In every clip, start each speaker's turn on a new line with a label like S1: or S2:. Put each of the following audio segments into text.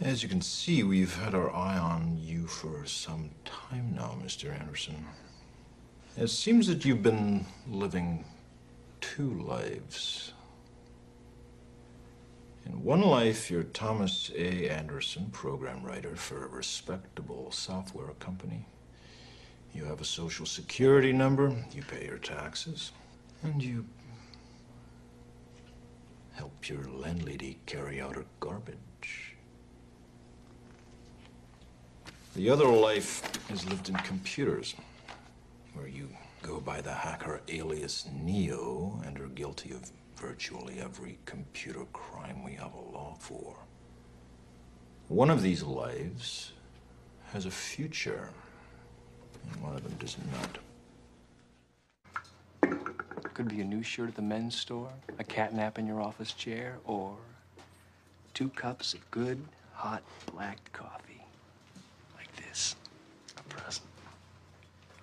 S1: As you can see, we've had our eye on you for some time now, Mr. Anderson. It seems that you've been living two lives. In one life, you're Thomas A. Anderson, program writer for a respectable software company. You have a social security number, you pay your taxes, and you help your landlady carry out her garbage. The other life is lived in computers, where you go by the hacker alias Neo and are guilty of virtually every computer crime we have a law for. One of these lives has a future, and one of them does not. Could be a new shirt at the men's store, a cat nap in your office chair, or two cups of good, hot, black coffee. Like this. A present.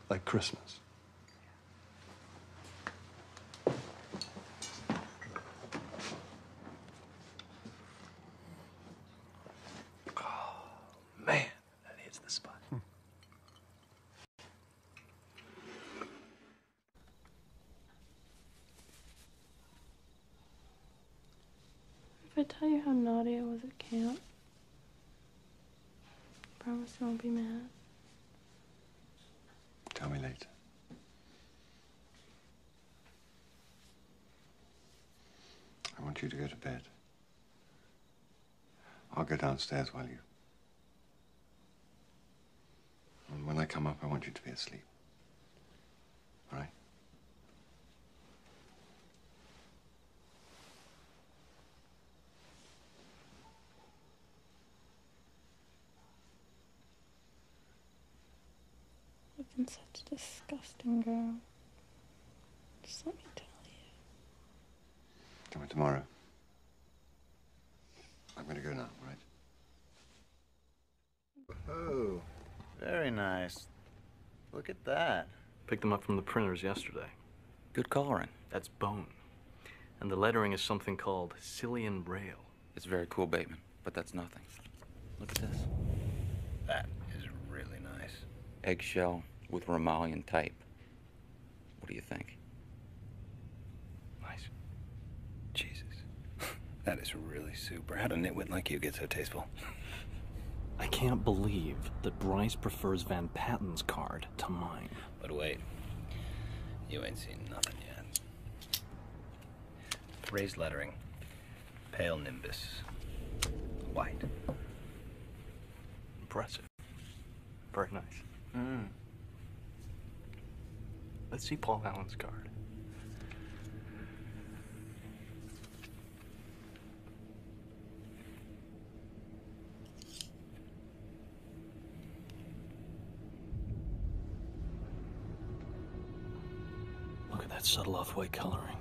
S1: Like Christmas. Oh, man, that hits the spot.
S2: If I tell you how naughty I was at camp, promise you won't be mad.
S1: Tell me later. I want you to go to bed. I'll go downstairs while you. And when I come up, I want you to be asleep. All right?
S2: I've been such a disgusting girl.
S1: Just let me tell you. Come in tomorrow. I'm gonna go now, right? Oh, very nice. Look at that. Picked them up from the printers yesterday. Good coloring. That's bone. And the lettering is something called Cillian Braille. It's very cool, Bateman, but that's nothing. Look at this. That is really nice. Eggshell with Romalian type. What do you think? Nice. Jesus. that is really super. How do nitwit like you get so tasteful? I can't believe that Bryce prefers Van Patten's card to mine. But wait. You ain't seen nothing yet. Raised lettering, pale nimbus, white. Impressive. Very nice. Hmm. Let's see Paul Allen's card. Look at that subtle off-white coloring.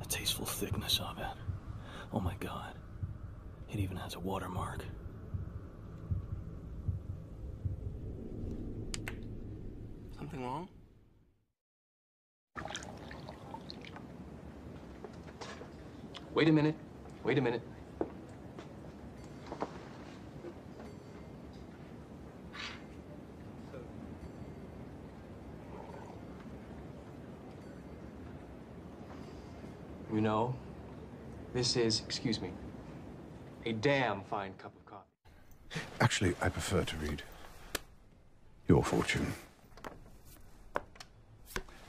S1: The tasteful thickness of it. Oh my god. It even has a watermark. Something wrong? Wait a minute. Wait a minute. You know, this is, excuse me, a damn fine cup of coffee. Actually, I prefer to read Your Fortune.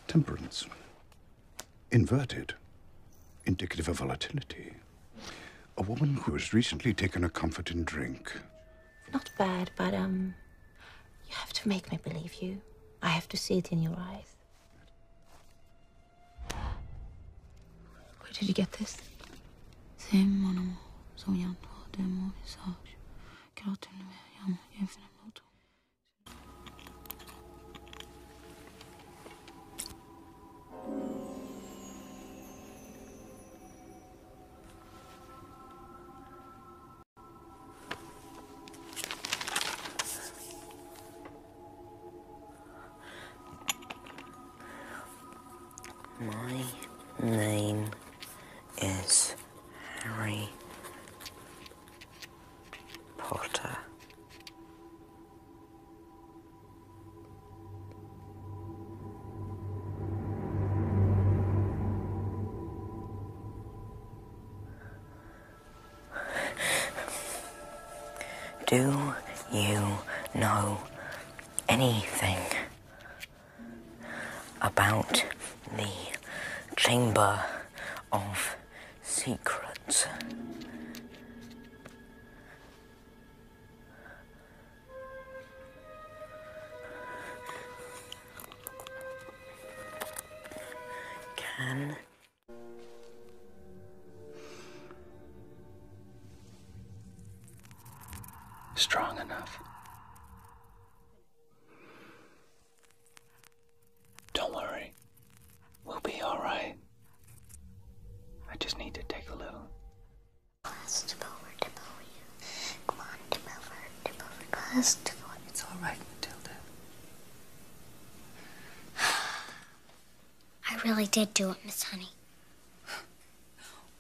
S1: Temperance. Inverted. Indicative of volatility. A woman who has recently taken a comfort in drink. Not bad, but, um, you have to make me believe you. I have to see it in your eyes. Where did you get this? My name is Harry Potter. Do you know anything about the Chamber of Secrets? Can. Strong enough. Don't worry. We'll be all right. I just need to take a little. It's alright, Matilda.
S2: I really did do it, Miss Honey.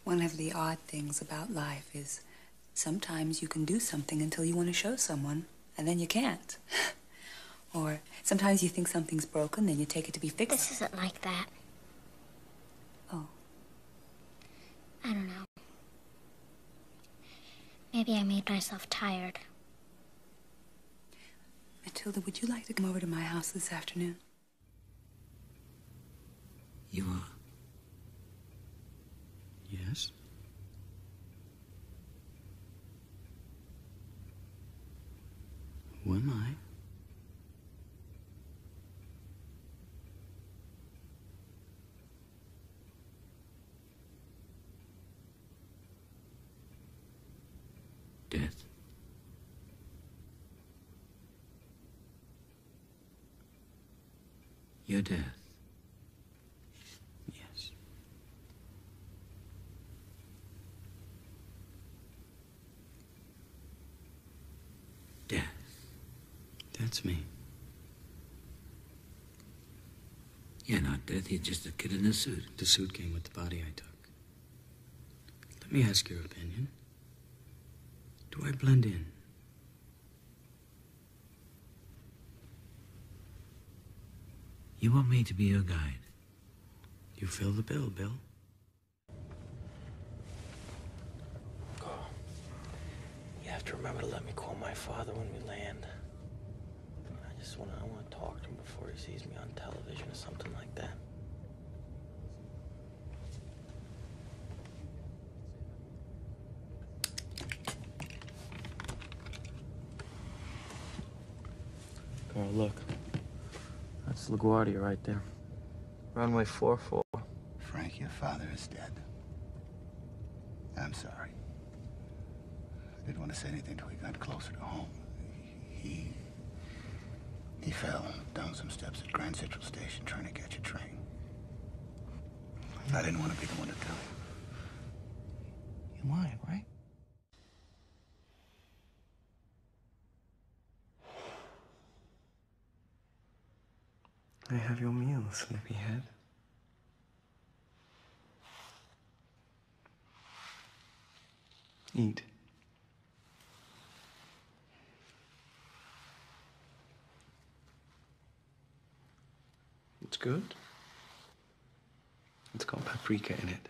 S2: One of the odd things about life is sometimes you can do something until you want to show someone, and then you can't. or sometimes you think something's broken, then you take it to be fixed. This isn't like that. Oh. I don't know. Maybe I made myself tired. Matilda, would you like to come over to my house this afternoon?
S1: You are? Yes?
S2: Who am I? Death. Your death. Yes.
S1: Death. That's me. Yeah, not death. He's just a kid in a suit. The suit came with the body I took. Let me ask your opinion. Do I blend in? You want me to be your guide? You fill the bill, Bill. Carl, you have to remember to let me call my father when we land. I just want I want to talk to him before he sees me on television or something like that.
S2: Girl, look. That's LaGuardia right there. Runway 44.
S1: Frank, your father is dead. I'm sorry. I didn't want to say anything till we got closer to home. He... He fell down some steps at Grand Central Station trying to catch a train. I didn't want to be the one to tell you. You lied, right? I have your meal, sleepyhead. Eat. It's good. It's got paprika in it.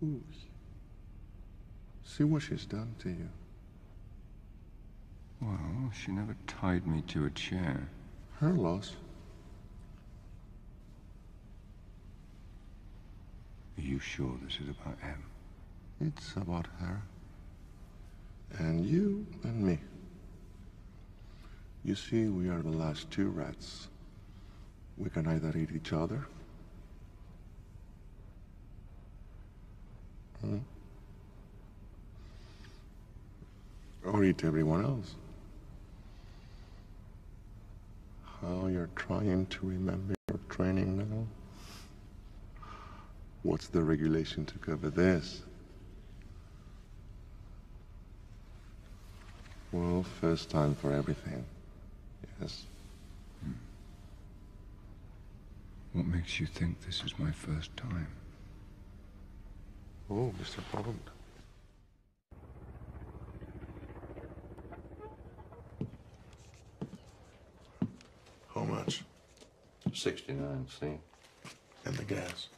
S2: Ooh. See what she's done to you. Well, she never tied me to a chair. Her loss. Are you sure this is about Em? It's about her. And you and me. You see, we are the last two rats. We can either eat each other. Hmm? Or eat everyone else. How you're trying to remember your training now? What's the regulation to cover this? Well, first time for everything. Yes. What makes you think this is my first time? Oh, Mr. Bond. How much? 69 cents. And the gas?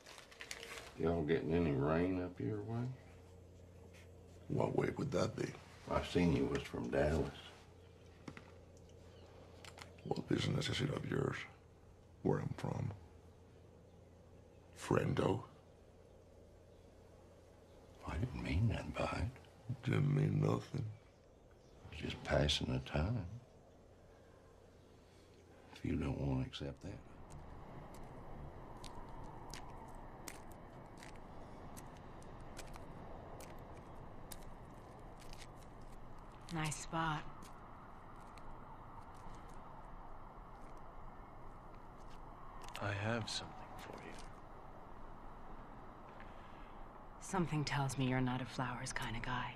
S2: Y'all getting any rain up your way? What way would that be? I seen you was from Dallas. What business is it of yours? Where I'm from?
S1: Friendo? I didn't mean that by it. didn't mean nothing. Just passing the time. If you don't want to accept that.
S2: Nice spot.
S1: I have something for you.
S2: Something tells me you're not a flowers kind of guy.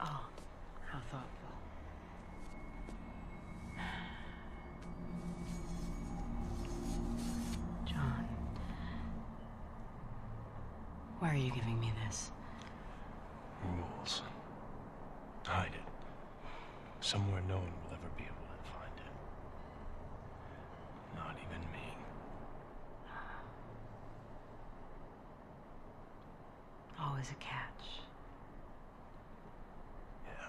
S2: Oh, how thoughtful.
S1: John. Why are you giving me this? Rules. Hide it. Somewhere no one will ever be able to find it. Not even me.
S2: Always a catch. Yeah.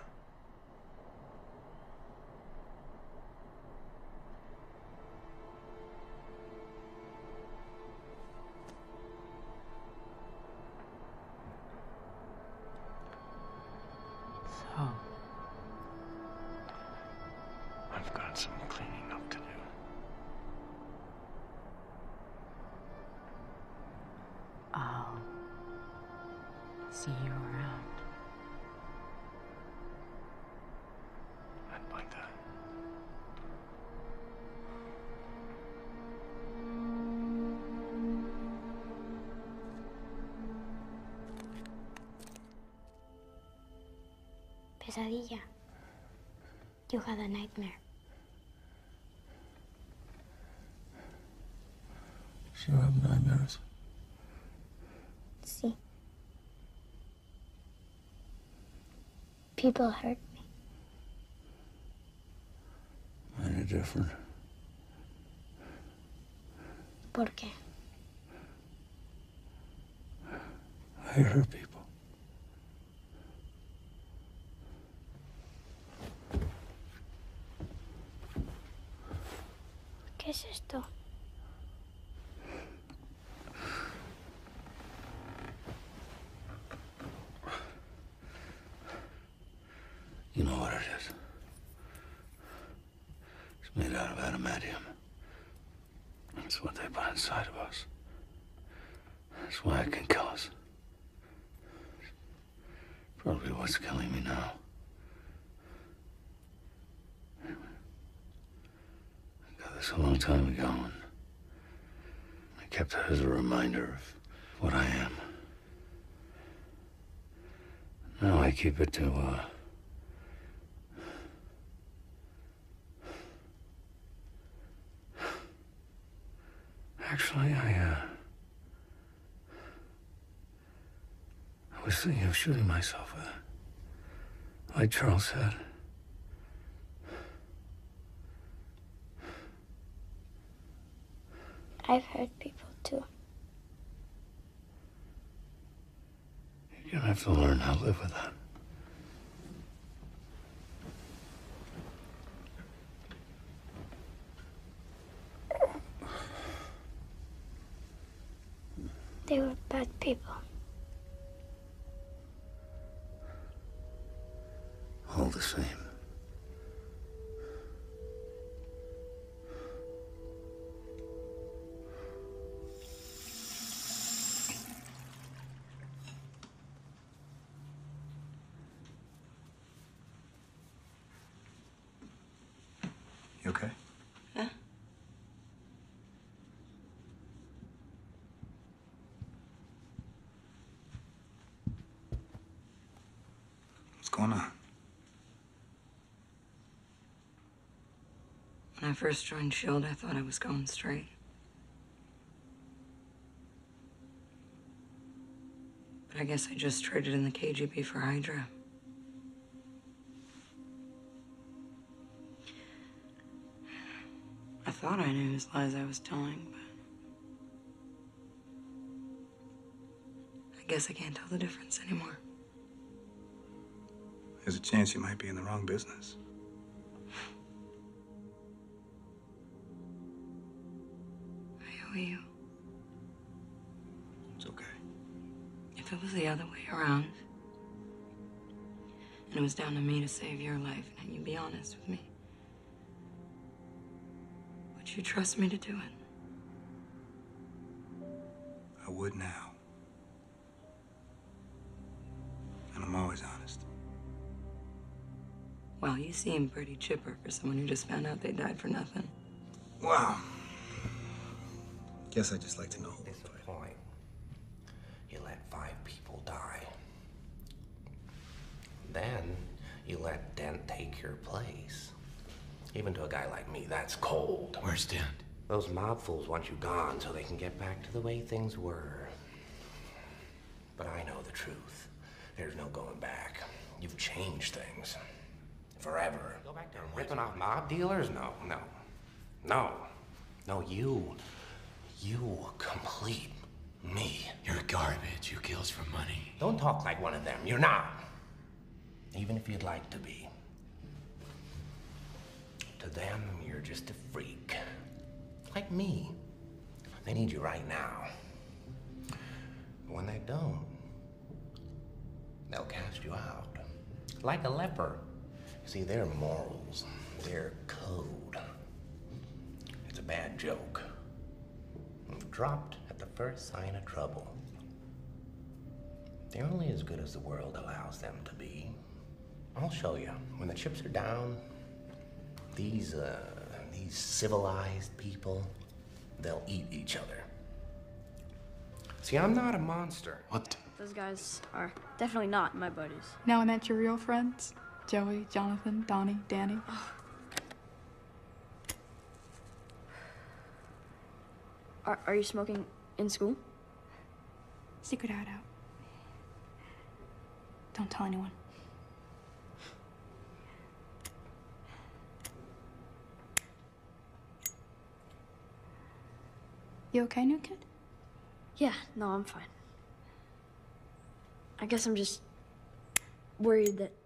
S2: So. I've got some cleaning up to do. I'll see you around. I'd that. Pesadilla. You had a nightmare.
S1: Do you have nightmares?
S2: See. People hurt me.
S1: Any different? ¿Por I hurt people. ¿Qué es you know what it is. It's made out of adamantium. That's what they put inside of us. That's why it can kill us. probably what's killing me now. I got this a long time ago, and I kept it as a reminder of what I am. Now I keep it to, uh, Actually, I, uh, I was thinking of shooting myself with uh, Like Charles said.
S2: I've hurt people too.
S1: You're gonna have to learn how to live with that.
S2: They were bad people.
S1: All the same. You okay? Huh?
S2: What's going on? When I first joined S.H.I.E.L.D., I thought I was going straight. But I guess I just traded in the KGB for Hydra. I thought I knew whose lies I was telling, but I guess I can't tell the difference anymore.
S1: There's a chance you might be in the wrong business.
S2: I owe you. It's okay. If it was the other way around, and it was down to me to save your life, and you'd be honest with me, would you trust me to do
S1: it? I would now. And I'm always honest.
S2: Well, you seem pretty chipper for someone who just found out they died for nothing.
S1: Wow. Guess I just like to know. Disappoint. You let five people die. Then you let Dent take your place. Even to a guy like me, that's cold. Where's Dent? Those mob fools want you gone so they can get back to the way things were. But I know the truth. There's no going back. You've changed things. Forever. Go back there ripping off mob dealers? No, no. No. No, you. You complete me? You're garbage You kill for money. Don't talk like one of them. You're not. Even if you'd like to be. To them, you're just a freak. Like me. They need you right now. when they don't, they'll cast you out. Like a leper. See, their morals, their code. It's a bad joke dropped at the first sign of trouble. They're only as good as the world allows them to be. I'll show you. When the chips are down, these, uh, these civilized people, they'll eat each other. See, I'm not a monster. What?
S2: Those guys are definitely not my buddies. Now I met your real friends. Joey, Jonathan, Donnie, Danny. Oh, are, are you smoking in school? Secret out out. Don't tell anyone. You okay, new kid? Yeah, no, I'm fine. I guess I'm just worried that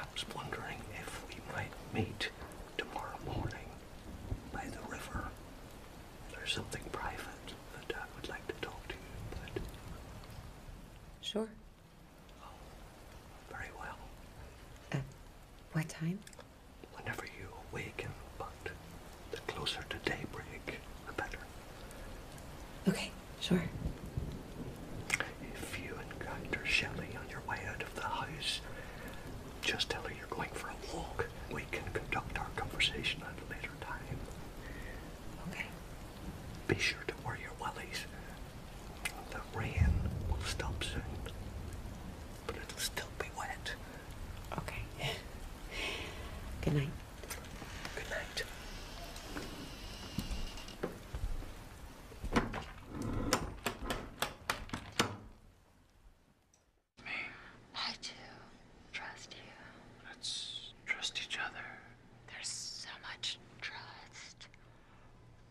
S1: I was wondering if we might meet tomorrow morning by the river. There's something private that I would like to talk to
S2: you about. Sure. Oh,
S1: very well. Uh, what time? Whenever you awaken, but the closer to daybreak, the better.
S2: Okay sure.
S1: If you encounter Shelley on your way out of the house, just tell her you're going for a walk. We can conduct our conversation at a later time. Okay. Be sure to wear your wellies. The rain will stop soon, but it'll still be wet. Okay. Good
S2: night. Good night. I I I
S1: I I'm do trust trust trust. you. you You Let's each other. There's so so much much,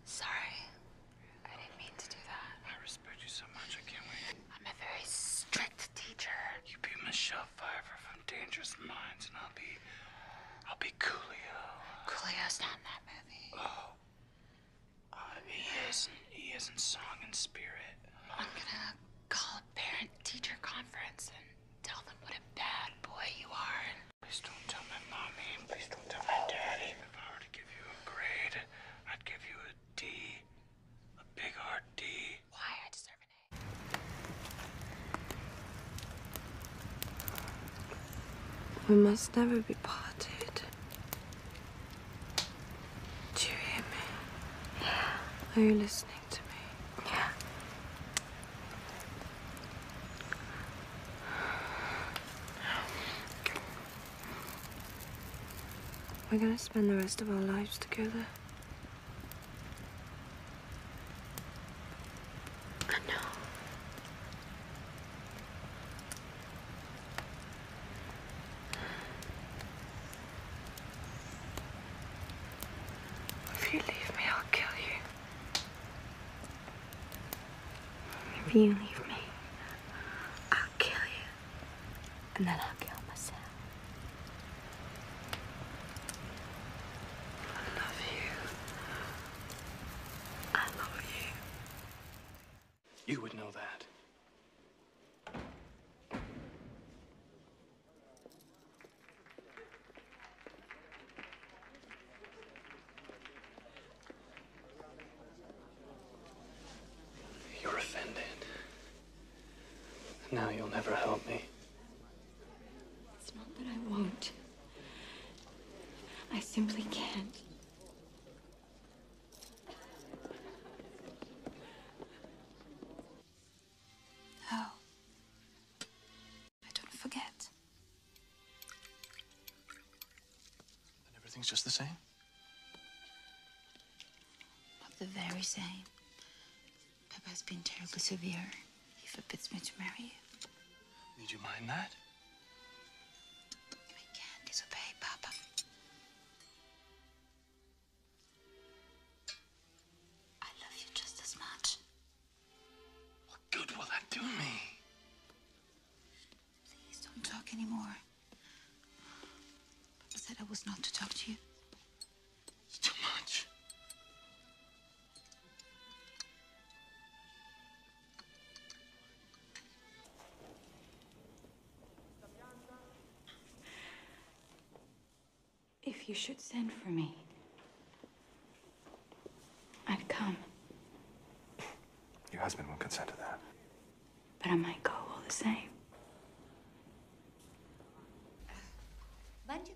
S1: Sorry, didn't can't mean to that. respect wait. a very strict teacher. be Michelle Fiver from Dangerous Minds, and I'll be, I'll be Coolio. Coolio's not in that movie. Oh. he isn't. He isn't song and spirit. I'm gonna call a parent-teacher conference and tell them what a bad boy you are. And Please don't tell my mommy. Please don't tell my daddy. If I were to give you a grade, I'd give you a D, a big hard D. Why? I deserve an A.
S2: We must never be parted. Do you hear me? Yeah. Are you listening to me? Yeah. We're gonna spend the rest of our lives together. I If you leave me, I'll kill you. If you leave me, I'll kill you. And then I'll kill myself. I love you. I love
S1: you. You would know that. You're offended. Now you'll never help me.
S2: It's not that I won't. I simply can't. Oh, I don't forget.
S1: And everything's just the same?
S2: Not the very same. Papa's been terribly severe. He forbids me to marry you.
S1: Did you mind that? I can't disobey Papa. I love you just as much. What good will that do me?
S2: Please don't talk anymore. Papa said I was not to talk to you. It's too much. If you should send for me, I'd come.
S1: Your husband won't consent to that.
S2: But I might go all the same. Bunch of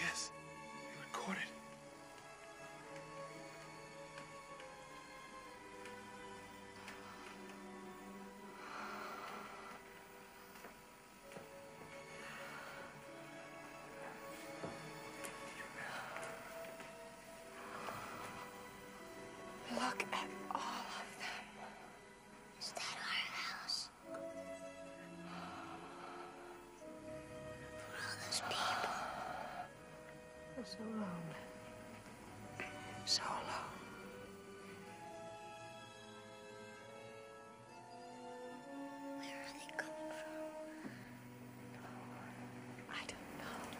S1: Yes, they recorded.
S2: Look at all of them. Is that our house? all those people for so long. So long. Where are they coming from? I don't know.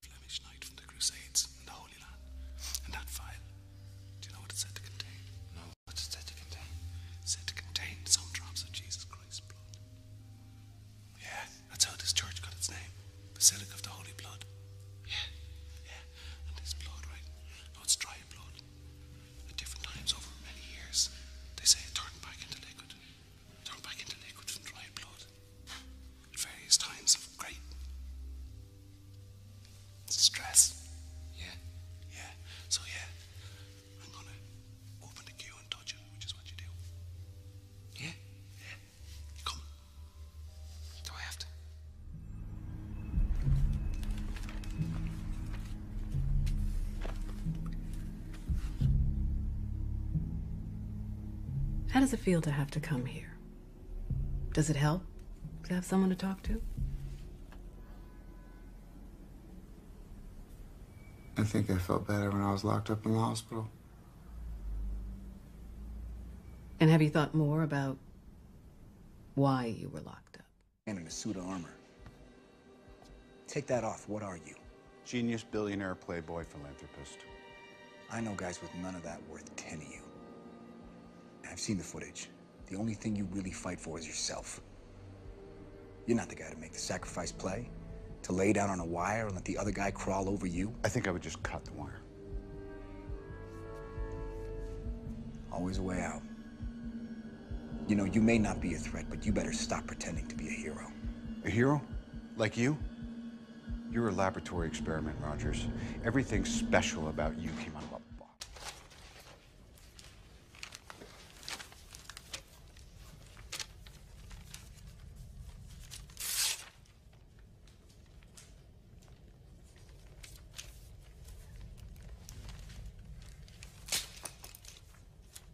S1: Flemish knight from the Crusades and the Holy Land. And that file, do you know what it's said to contain? No, what's it said to contain? said to contain some drops of Jesus Christ's blood. Yeah, that's how this church got its name. Basilica of the Holy Blood. Yeah, yeah. And this blood, right? No, it's dry blood. At different times over many years, they say turned back into liquid turned back into liquid from dry blood at various times of great stress. Yeah? Yeah. So, yeah, I'm gonna open the queue and touch it, which is what you do. Yeah? Yeah. Come. Do I have to?
S2: How does it feel to have to come here? Does it help to have someone to talk to? I think I felt better when I was locked up in the hospital. And have you thought more about why you were locked up?
S1: And in a suit of armor. Take that off. What are you? Genius, billionaire, playboy, philanthropist. I know guys with none of that worth 10 of you. I've seen the footage. The only thing you really fight for is yourself. You're not the guy to make the sacrifice play, to lay down on a wire and let the other guy crawl over you. I think I would just cut the wire. Always a way out. You know, you may not be a threat, but you better stop pretending to be a hero. A hero? Like you? You're a laboratory experiment, Rogers. Everything special about you came out of a box.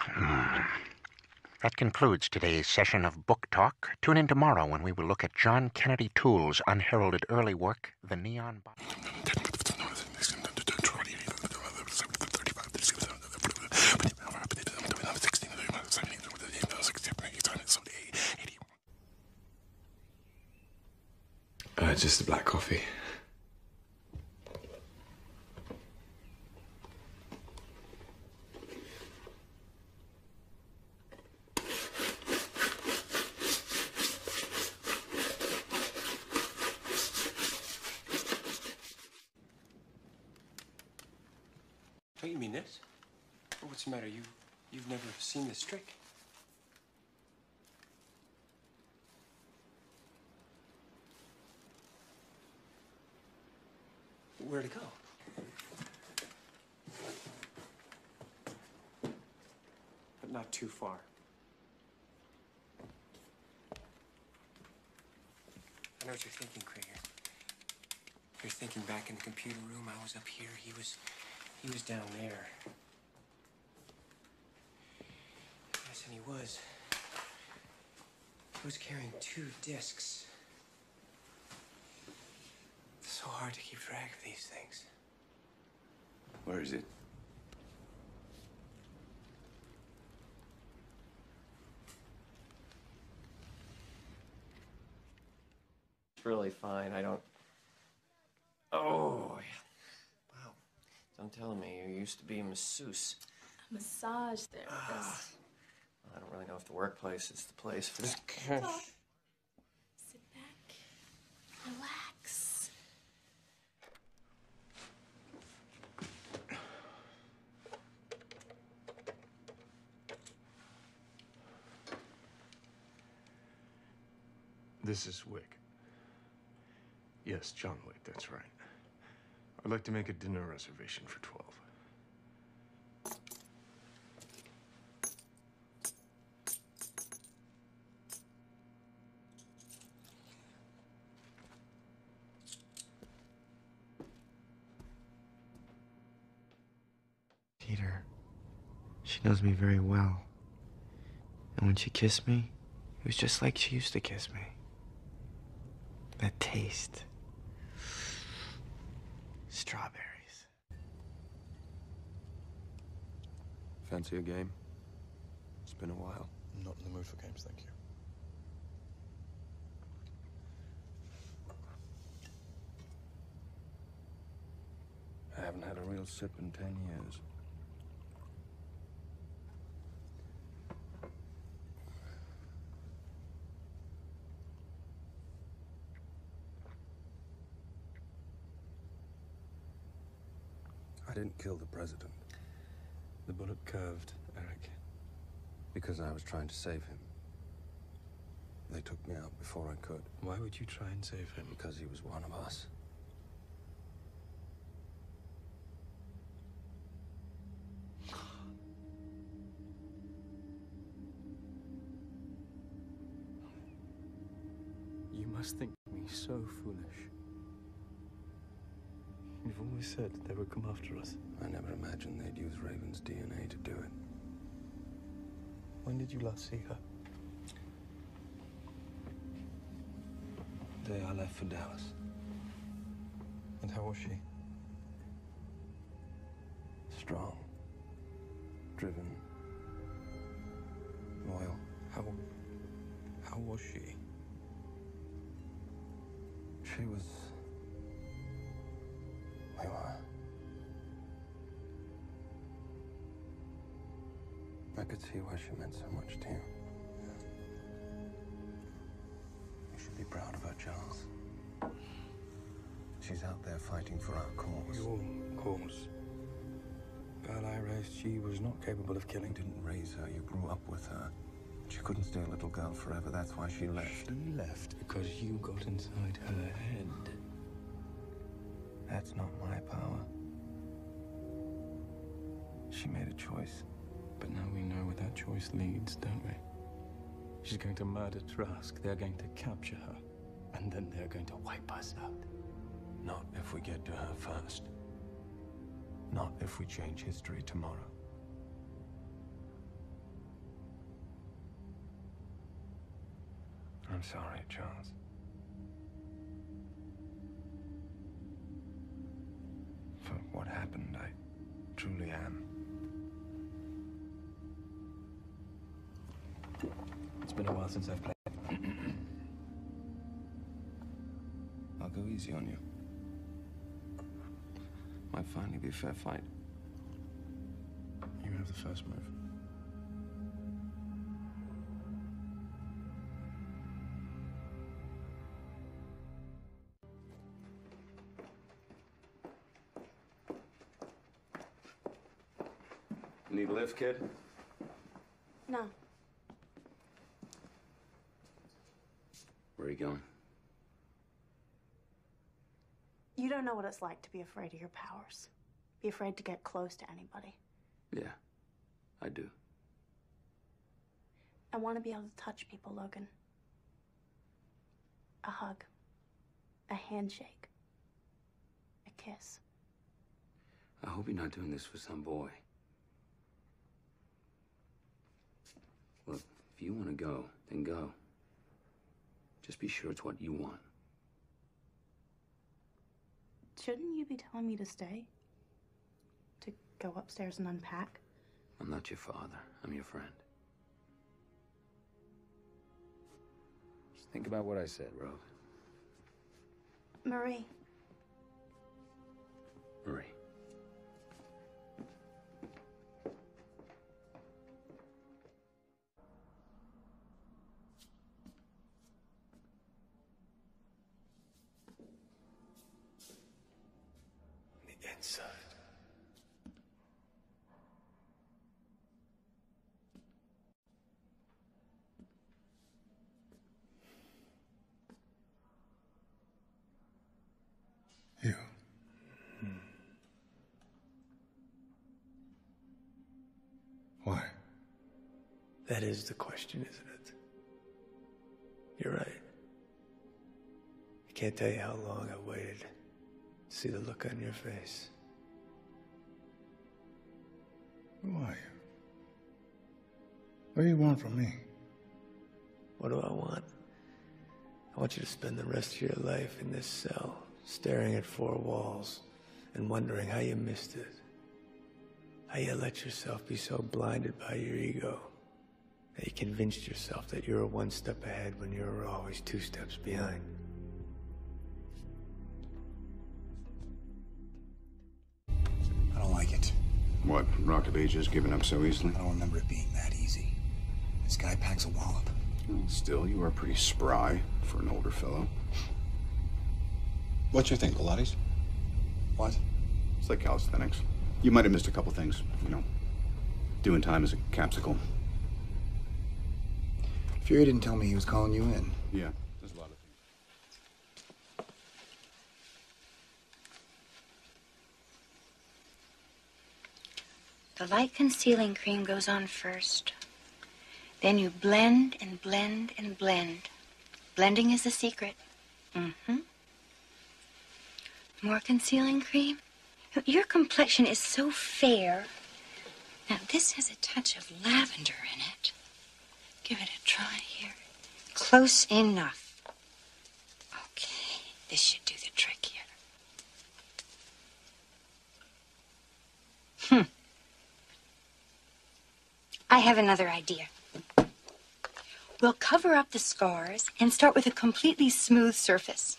S1: Hmm. That concludes today's session of Book Talk. Tune in tomorrow when we will look at John Kennedy Toole's unheralded early work, The Neon Body. Uh, just a black coffee. Don't you mean this? What's the matter? You, you've never seen this trick? where to go? But not too far. I know what you're thinking, Krieger. You're thinking back in the computer room, I was up here, he was, he was down there. Yes, and he was. He was carrying two discs. It's so hard to keep track of these things. Where is it? It's really fine. I don't. Oh, Wow. Don't tell me you used to be a masseuse.
S2: A massage therapist. Ah.
S1: I don't really know if the workplace is the place for this. Sit back, relax. This is Wick. Yes, John Wick, that's right. I'd like to make a dinner reservation for 12. Peter, she knows me very well. And when she kissed me, it was just like she used to kiss me. That taste. Strawberries. Fancy a game? It's been a while. not in the mood for games, thank you. I haven't had a real sip in ten years. I didn't kill the president. The bullet curved, Eric. Because I was trying to save him. They took me out before I could. Why would you try and save him? Because he was one of us. You must think me so foolish. You've always said they would come after us. I never imagined they'd use Raven's DNA to do it. When did you last see her? The day I left for Dallas. And how was she? Strong. Driven. Loyal. How... how was she? She was... Layla. I could see why she meant so much to you. You should be proud of her, Charles. She's out there fighting for our cause. Your cause? Girl I raised, she was not capable of killing. You didn't raise her, you grew up with her. She couldn't stay a little girl forever, that's why she left. She left because you got inside her head. That's not my power. She made a choice. But now we know where that choice leads, don't we? She's going to murder Trask, they're going to capture her, and then they're going to wipe us out. Not if we get to her first. Not if we change history tomorrow. I'm sorry, Charles for what happened. I truly am. It's been a while since I've played. I'll go easy on you. Might finally be a fair fight. You have the first move. Need a lift, kid? No. Where are you going?
S2: You don't know what it's like to be afraid of your powers. Be afraid to get close to anybody. Yeah, I do. I want to be able to touch people, Logan. A hug, a handshake, a kiss.
S1: I hope you're not doing this for some boy. Look, if you want to go, then go. Just be sure it's what you want.
S2: Shouldn't you be telling me to stay? To go upstairs and unpack?
S1: I'm not your father. I'm your friend. Just think about what I said, Rose.
S2: Marie. Marie. The inside. You. Hmm.
S1: Why? That is the question, isn't it? You're right. I can't tell you how long I waited to see the look on your face. Who are you?
S2: What do you want from me?
S1: What do I want? I want you to spend the rest of your life in this cell, staring at four walls and wondering how you missed it. How you let yourself be so blinded by your ego that you convinced yourself that you were one step ahead when you are always two steps behind. I don't like it. What, Rock of Ages giving up so easily? I don't remember it being that easy. This guy packs a wallop. still, you are pretty spry for an older fellow. What you think, Pilates? What? It's like calisthenics. You might have missed a couple things, you know. Doing time as a capsicle.
S2: Fury didn't tell me he was calling you in.
S1: Yeah, there's a lot of things.
S2: The light concealing cream goes on first. Then you blend and blend and blend. Blending is the secret. Mm-hmm. More concealing cream? Your complexion is so fair. Now, this has a touch of lavender in it. Give it a try here. Close enough. Okay, this should do the trick here. Hmm. I have another idea. We'll cover up the scars and start with a completely smooth surface.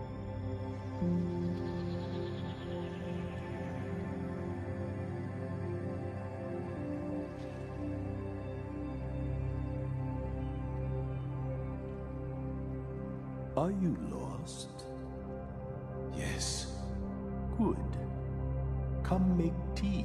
S1: Are you lost? Yes. Good. Come make tea.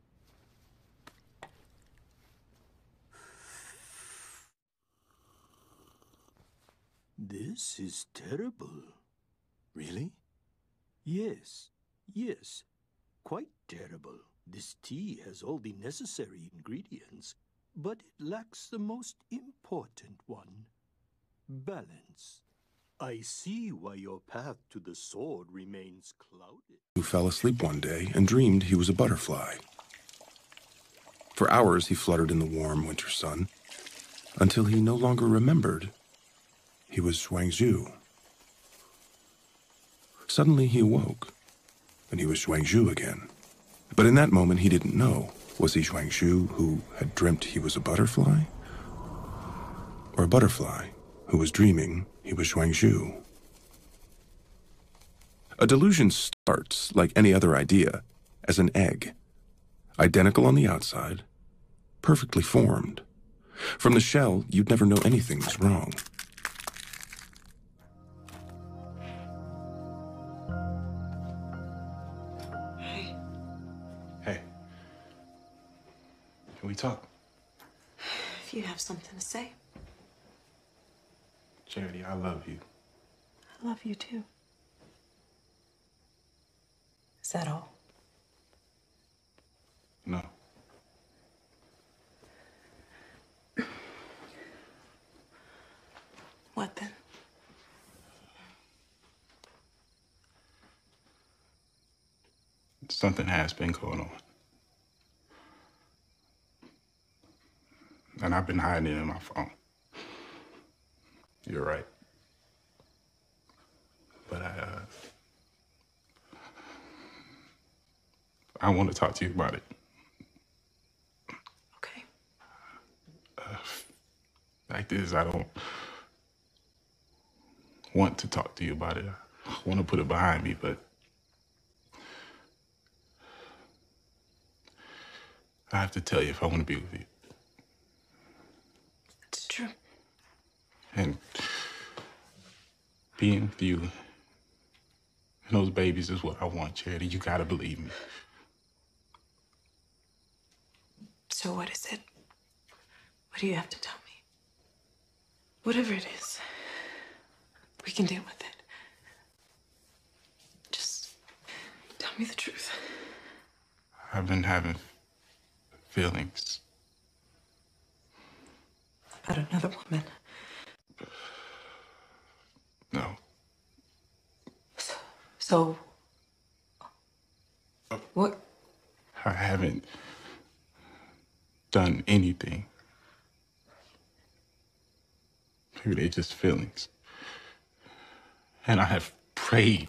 S1: This is terrible. Really? Yes, yes. Quite terrible. This tea has all the necessary ingredients, but it lacks the most important one balance. I see why your path to the sword remains clouded. Who fell asleep one day and dreamed he was a butterfly. For hours he fluttered in the warm winter sun until he no longer remembered he was Zhuang Zhu. Suddenly he awoke and he was Zhuang Zhu again. But in that moment he didn't know was he Zhuang Zhu who had dreamt he was a butterfly? Or a butterfly who was dreaming he was Shuangxu. A delusion starts, like any other idea, as an egg, identical on the outside, perfectly formed. From the shell, you'd never know anything was wrong.
S2: Hey. Hey. Can we talk? If you have something to say. Charity, I love you. I love you too. Is that all? No. what then? something has been going on. And I've been hiding it in my phone. You're right. But I, uh, I want to talk to you about it. Okay. Uh, fact is, I don't, want to talk to you about it. I want to put it behind me, but I have to tell you if I want to be with you. It's true. And being with you and those babies is what I want, Charity. You gotta believe me. So what is it? What do you have to tell me? Whatever it is, we can deal with it. Just tell me the truth. I've been having feelings. About another woman? No. So, what? I haven't done anything. Maybe they are just feelings. And I have prayed.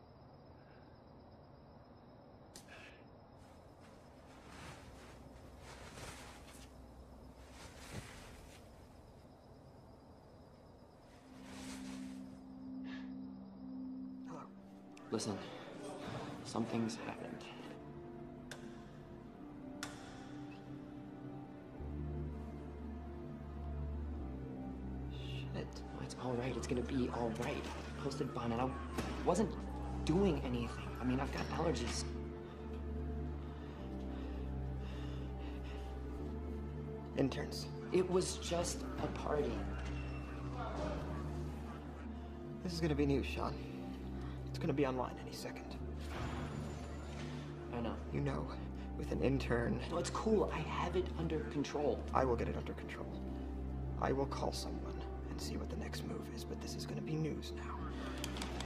S2: Listen, something's happened.
S1: Shit. it's all right. It's gonna be all right. posted bond, and I wasn't doing anything. I mean, I've got allergies. Interns. It was just
S2: a party. This is gonna be news, Sean.
S1: It's gonna be online any second. I know. You know, with an intern. No, it's cool. I have it under control. I will get it under I will call someone and see what the next move is, but this is gonna be news now.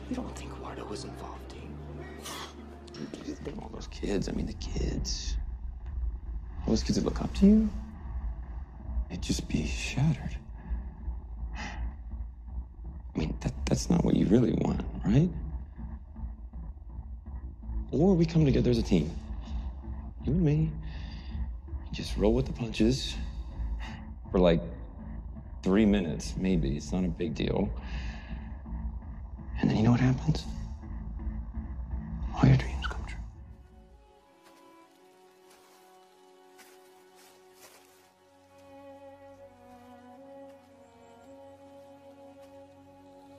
S1: You don't think Wardo was involved, eh? do all those kids, I mean the kids. All those kids that look up to you? It'd just be shattered. I mean, that's not what you really want, right? Or we come together as a team. You and me. Just roll with the punches for like three minutes, maybe. It's not a big deal. And then you know what happens? All your dreams come true.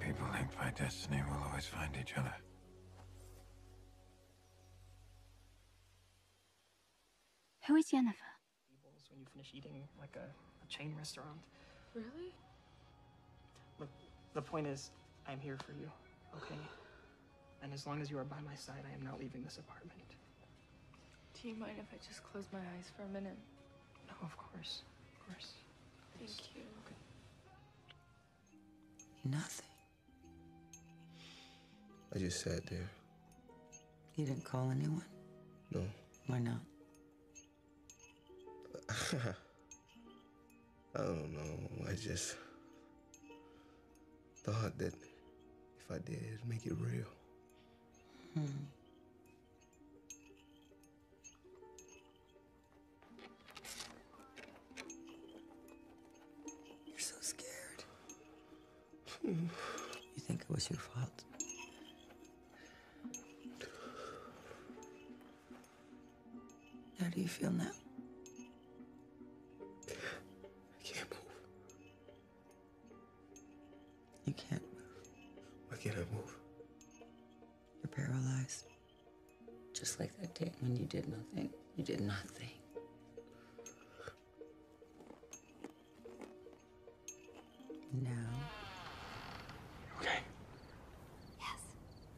S1: People linked by destiny will always find each other.
S2: Who is Jennifer? When you finish eating, like a chain restaurant. Really? Look, the point is, I'm here for you, okay? And as long as you are by my side, I am not leaving this apartment. Do you mind if I just close my eyes for a minute? No, of course. Of course. Thank you. Nothing. I just sat there. You didn't call anyone? No. Why not?
S1: I don't know. I just thought that if I did, it'd make it real. Hmm.
S2: You're so scared. you think it was your fault? How do you feel now? I can't move.
S1: You can't move. Why can't I move?
S2: You're paralyzed. Just like that day when you did nothing. You did nothing. Now.
S1: Okay. Yes.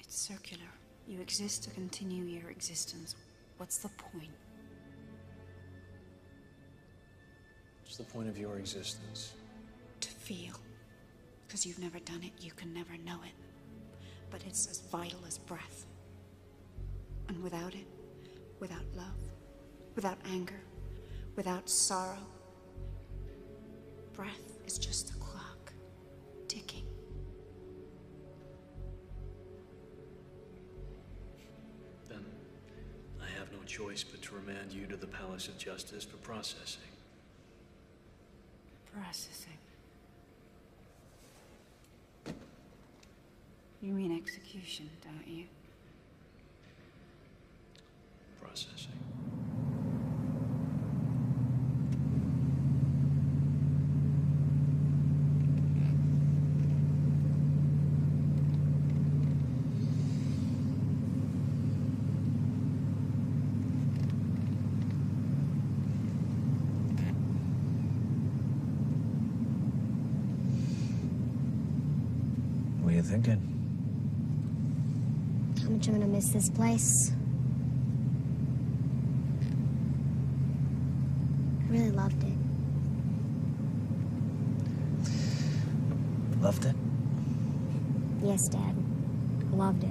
S2: It's circular. You exist to continue your existence. What's the point?
S1: What's the point of your existence?
S2: To feel. Because you've never done it, you can never know it. But it's as vital as breath. And without it, without love, without anger, without sorrow, Breath is just a clock ticking.
S1: Then I have no choice but to remand you to the Palace of Justice for processing.
S2: Processing? You mean execution, don't you?
S1: Processing. What are you thinking?
S2: How much I'm gonna miss this place. I really loved it. Loved it? Yes, Dad. loved it.